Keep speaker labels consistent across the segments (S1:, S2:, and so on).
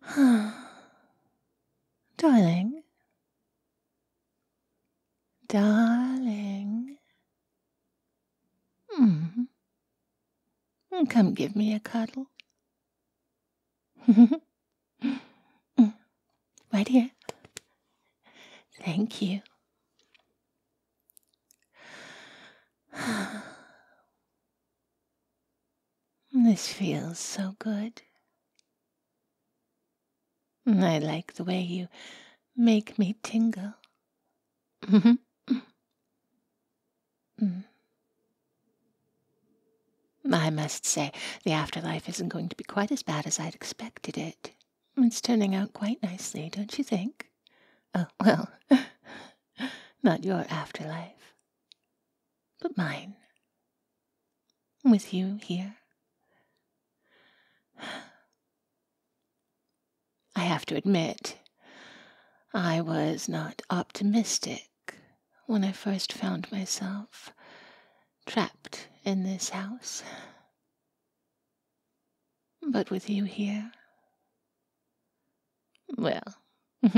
S1: darling, darling, mm. come give me a cuddle. right here. Thank you. This feels so good. I like the way you make me tingle. I must say, the afterlife isn't going to be quite as bad as I'd expected it. It's turning out quite nicely, don't you think? Oh, well, not your afterlife, but mine. With you here. I have to admit, I was not optimistic when I first found myself trapped in this house. But with you here, well,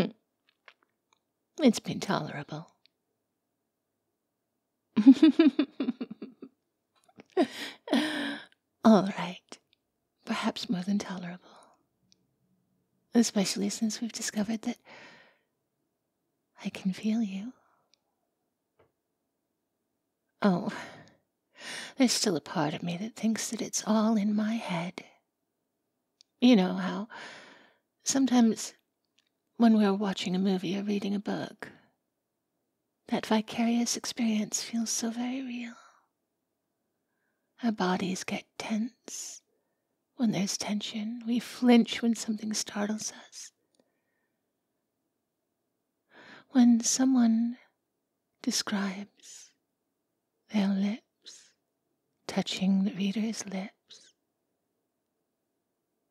S1: it's been tolerable. All right. Perhaps more than tolerable. Especially since we've discovered that I can feel you. Oh, there's still a part of me that thinks that it's all in my head. You know how sometimes when we're watching a movie or reading a book, that vicarious experience feels so very real. Our bodies get tense when there's tension. We flinch when something startles us. When someone describes their lips touching the reader's lips,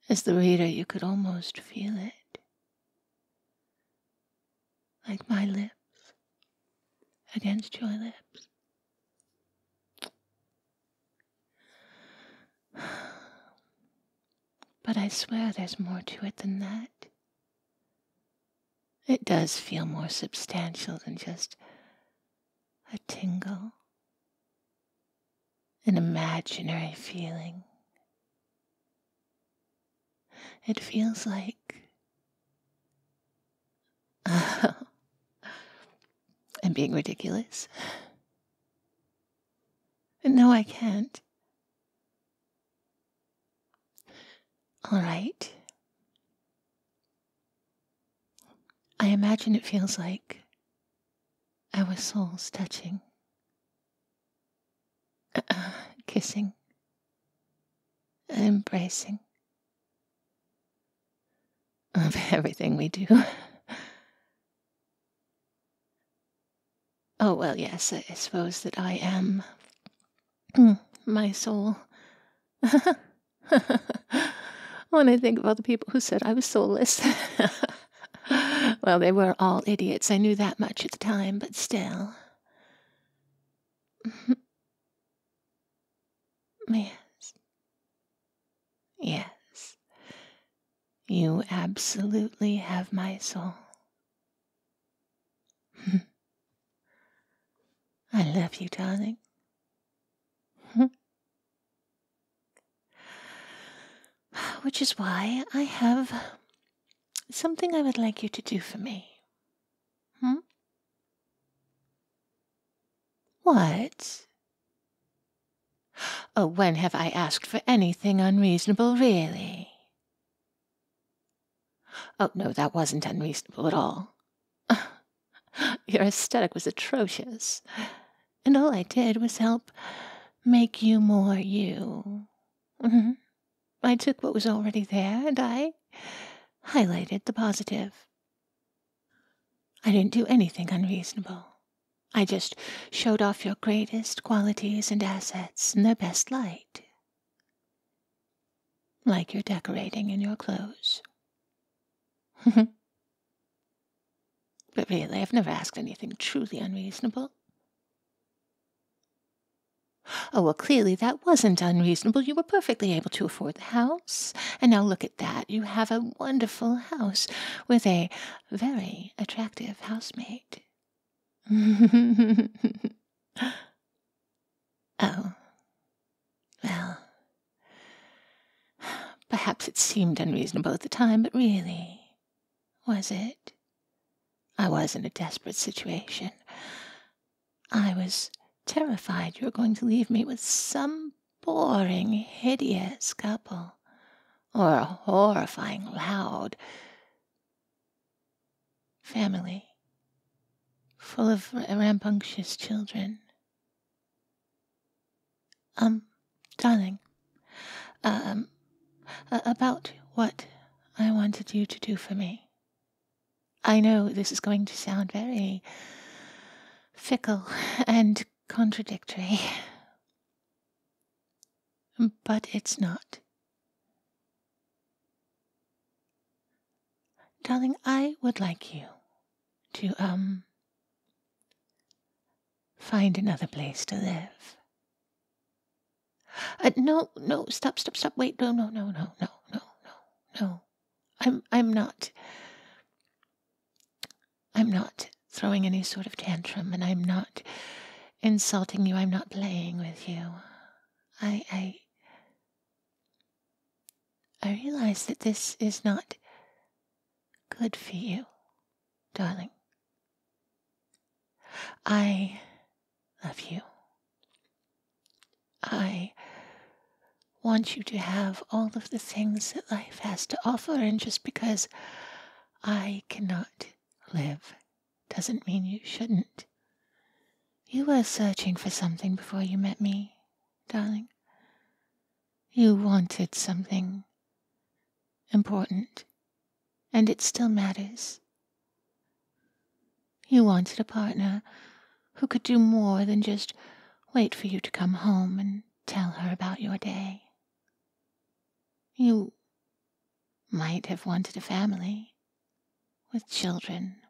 S1: as the reader, you could almost feel it. Like my lips against your lips. But I swear there's more to it than that. It does feel more substantial than just a tingle, an imaginary feeling. It feels like. I'm being ridiculous. No, I can't. All right. I imagine it feels like our souls touching, kissing, embracing of everything we do. Oh, well, yes, I suppose that I am. Hmm, my soul. when I think of other people who said I was soulless. well, they were all idiots. I knew that much at the time, but still. yes. Yes. You absolutely have my soul. I love you, darling. Which is why I have something I would like you to do for me. Hmm? What? Oh, when have I asked for anything unreasonable, really? Oh, no, that wasn't unreasonable at all. Your aesthetic was atrocious, and all I did was help make you more you. Mm-hmm. I took what was already there and I highlighted the positive. I didn't do anything unreasonable. I just showed off your greatest qualities and assets in the best light. Like you're decorating in your clothes. but really, I've never asked anything truly unreasonable. Oh, well, clearly that wasn't unreasonable. You were perfectly able to afford the house. And now look at that. You have a wonderful house with a very attractive housemaid oh. Well. Perhaps it seemed unreasonable at the time, but really, was it? I was in a desperate situation. I was terrified you were going to leave me with some boring, hideous couple or a horrifying loud family full of rambunctious children. Um, darling, um, about what I wanted you to do for me. I know this is going to sound very fickle and contradictory. Um, but it's not. Darling, I would like you to, um, find another place to live. Uh, no, no, stop, stop, stop. Wait, no, no, no, no, no, no, no, no. I'm, I'm not. I'm not throwing any sort of tantrum, and I'm not insulting you. I'm not playing with you. I, I, realize that this is not good for you, darling. I love you. I want you to have all of the things that life has to offer, and just because I cannot live doesn't mean you shouldn't. You were searching for something before you met me, darling. You wanted something important, and it still matters. You wanted a partner who could do more than just wait for you to come home and tell her about your day. You might have wanted a family with children.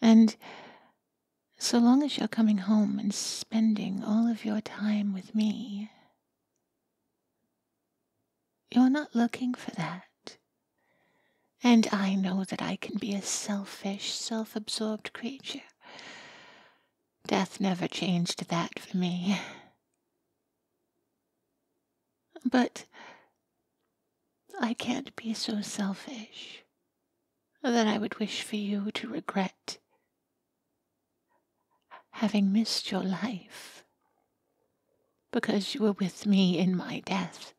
S1: And so long as you're coming home and spending all of your time with me, you're not looking for that. And I know that I can be a selfish, self absorbed creature. Death never changed that for me. But I can't be so selfish that I would wish for you to regret having missed your life because you were with me in my death.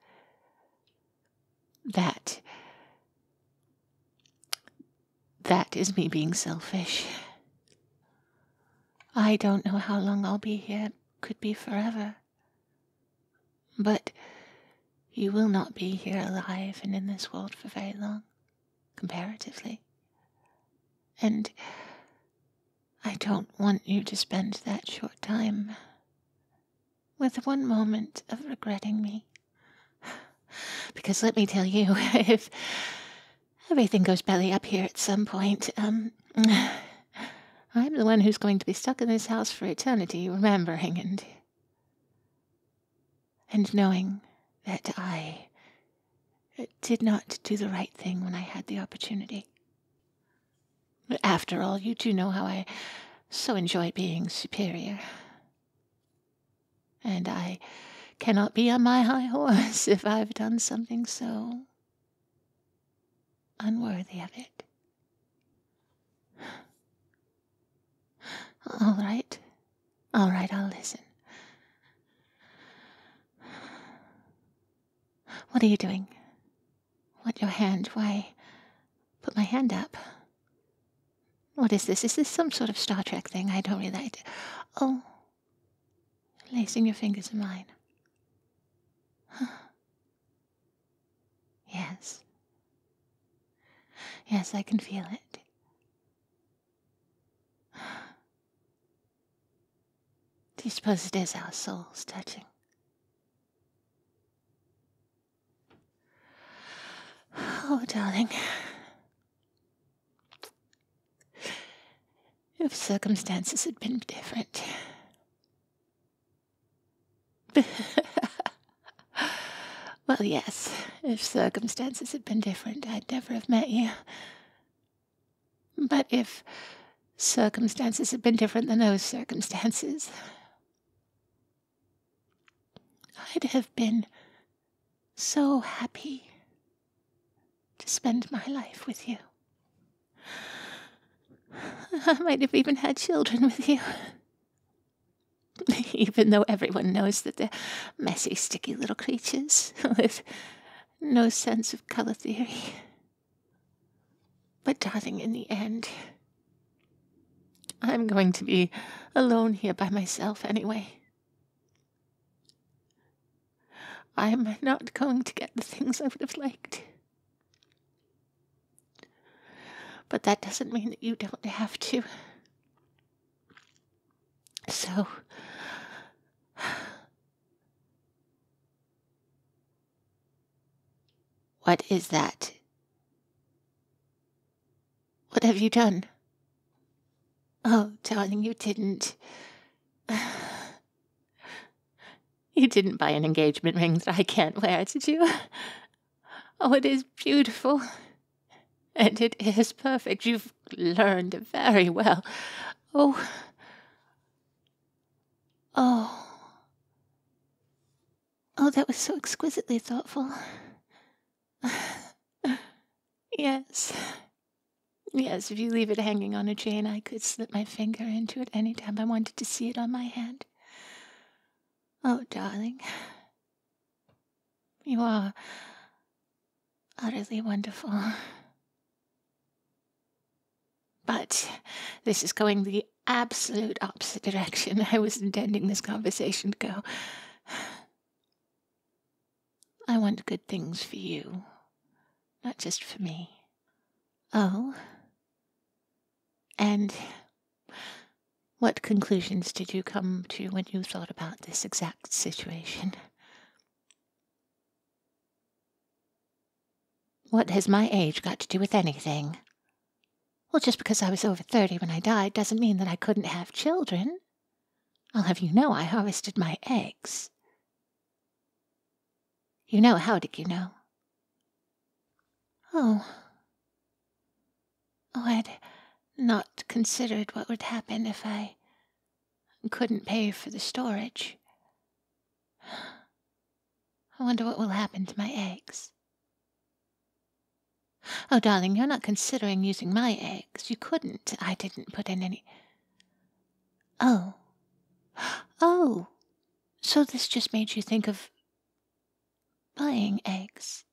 S1: That that is me being selfish. I don't know how long I'll be here, could be forever. But you will not be here alive and in this world for very long, comparatively. And I don't want you to spend that short time with one moment of regretting me. Because let me tell you, if everything goes belly up here at some point, um, I'm the one who's going to be stuck in this house for eternity, remembering and. and knowing that I did not do the right thing when I had the opportunity. After all, you do know how I so enjoy being superior. And I cannot be on my high horse if I've done something so unworthy of it. All right, all right, I'll listen. What are you doing? What your hand? Why, put my hand up. What is this? Is this some sort of Star Trek thing? I don't really. Like oh. Lacing your fingers in mine. yes. Yes, I can feel it. Do you suppose it is our souls touching? Oh, darling. If circumstances had been different. well, yes, if circumstances had been different, I'd never have met you. But if circumstances had been different than those circumstances, I'd have been so happy to spend my life with you. I might have even had children with you. even though everyone knows that they're messy, sticky little creatures with no sense of color theory. But, darling, in the end, I'm going to be alone here by myself anyway. I'm not going to get the things I would have liked. But that doesn't mean that you don't have to. So, what is that? What have you done? Oh, darling, you didn't. You didn't buy an engagement ring that I can't wear, did you? Oh, it is beautiful. And it is perfect. You've learned very well. Oh. Oh. Oh, that was so exquisitely thoughtful. yes. Yes, if you leave it hanging on a chain, I could slip my finger into it any time I wanted to see it on my hand. Oh, darling. You are utterly wonderful. But this is going the absolute opposite direction I was intending this conversation to go. I want good things for you, not just for me. Oh? And what conclusions did you come to when you thought about this exact situation? What has my age got to do with anything? Well, just because I was over 30 when I died doesn't mean that I couldn't have children. I'll have you know I harvested my eggs. You know, how did you know? Oh. Oh, I'd not considered what would happen if I couldn't pay for the storage. I wonder what will happen to my eggs. Oh, darling, you're not considering using my eggs. You couldn't. I didn't put in any. Oh. Oh. So this just made you think of buying eggs.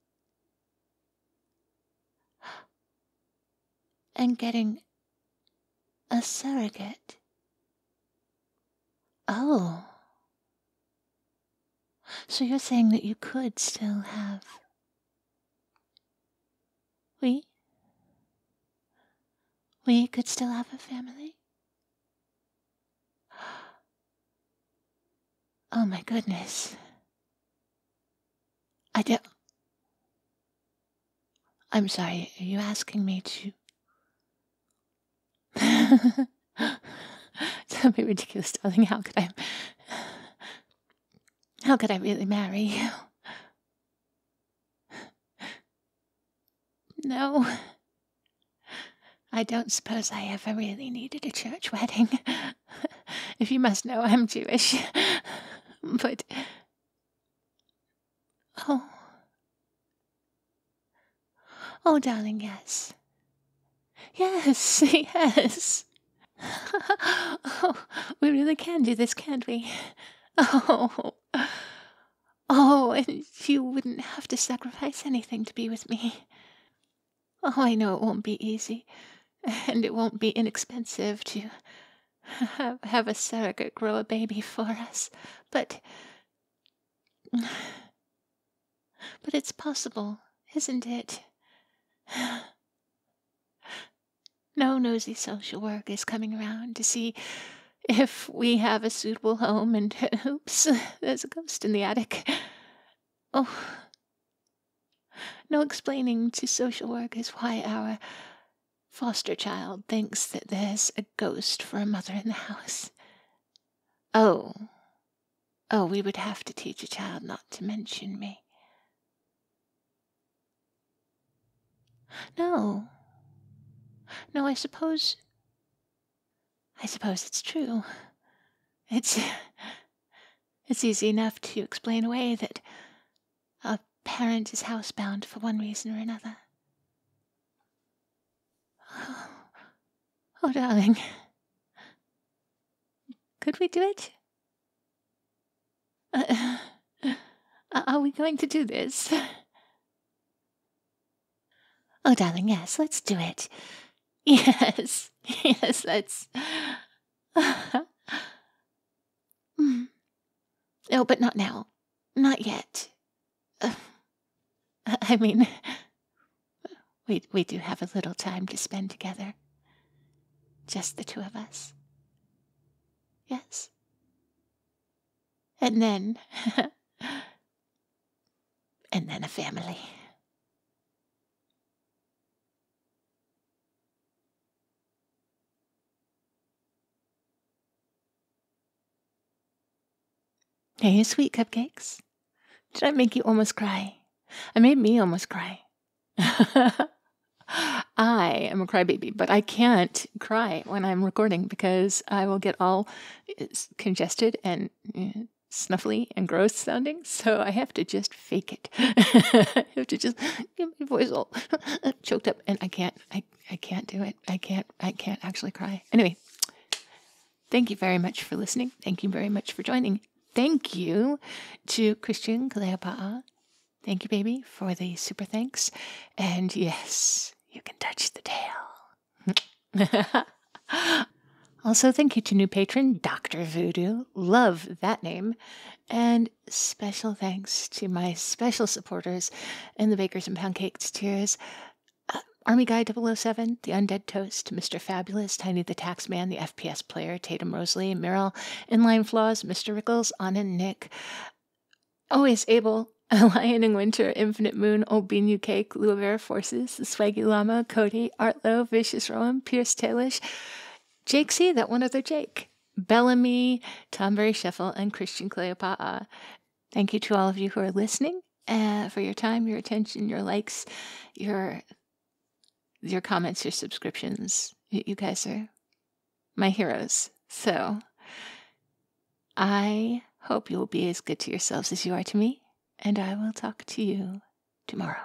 S1: And getting a surrogate. Oh. So you're saying that you could still have. We? We could still have a family? Oh my goodness. I don't. I'm sorry, are you asking me to. Don't be ridiculous, darling. How could I? How could I really marry No. I don't suppose I ever really needed a church wedding. if you must know, I'm Jewish. but Oh. Oh, darling, yes. Yes, yes. Oh, we really can do this, can't we? Oh. Oh, and you wouldn't have to sacrifice anything to be with me. Oh, I know it won't be easy, and it won't be inexpensive to have a surrogate grow a baby for us, but but it's possible, isn't it? No nosy social work is coming around to see if we have a suitable home, and oops, there's a ghost in the attic. Oh, no explaining to social work is why our Foster child thinks that there's a ghost for a mother in the house. Oh. Oh, we would have to teach a child not to mention me. No. No, I suppose. I suppose it's true. It's. It's easy enough to explain away that a parent is housebound for one reason or another. Oh, oh darling. Could we do it? Uh, uh, are we going to do this? Oh, darling, yes, let's do it. Yes, yes, let's. Mm. No, oh, but not now. Not yet. Uh, I mean, we, we do have a little time to spend together. Just the two of us. Yes. And then, and then a family. Are you sweet cupcakes? Did I make you almost cry? I made me almost cry. I am a crybaby, but I can't cry when I'm recording because I will get all eh, congested and eh, snuffly and gross sounding. So I have to just fake it. I have to just get my voice all choked up, and I can't. I I can't do it. I can't. I can't actually cry. Anyway, thank you very much for listening. Thank you very much for joining. Thank you to Christian Kaleopaa. Thank you, baby, for the super thanks. And yes, you can touch the tail. also, thank you to new patron Dr. Voodoo. Love that name. And special thanks to my special supporters in the Bakers and Pound Cakes tiers. Uh, Army Guy 007, The Undead Toast, Mr. Fabulous, Tiny the Taxman, The FPS Player, Tatum Rosalie, Merrill, Inline Flaws, Mr. Rickles, Anna Nick, Always Able, Lion in Winter, Infinite Moon, Old Bean Cake, Luavera Forces, The Swaggy Llama, Cody, Artlow, Vicious Rowan, Pierce Tailish, Jake C, that one other Jake, Bellamy, Tom Berry Sheffel, and Christian Cleopa'a. Thank you to all of you who are listening uh, for your time, your attention, your likes, your your comments, your subscriptions. You guys are my heroes. So I hope you will be as good to yourselves as you are to me, and I will talk to you tomorrow.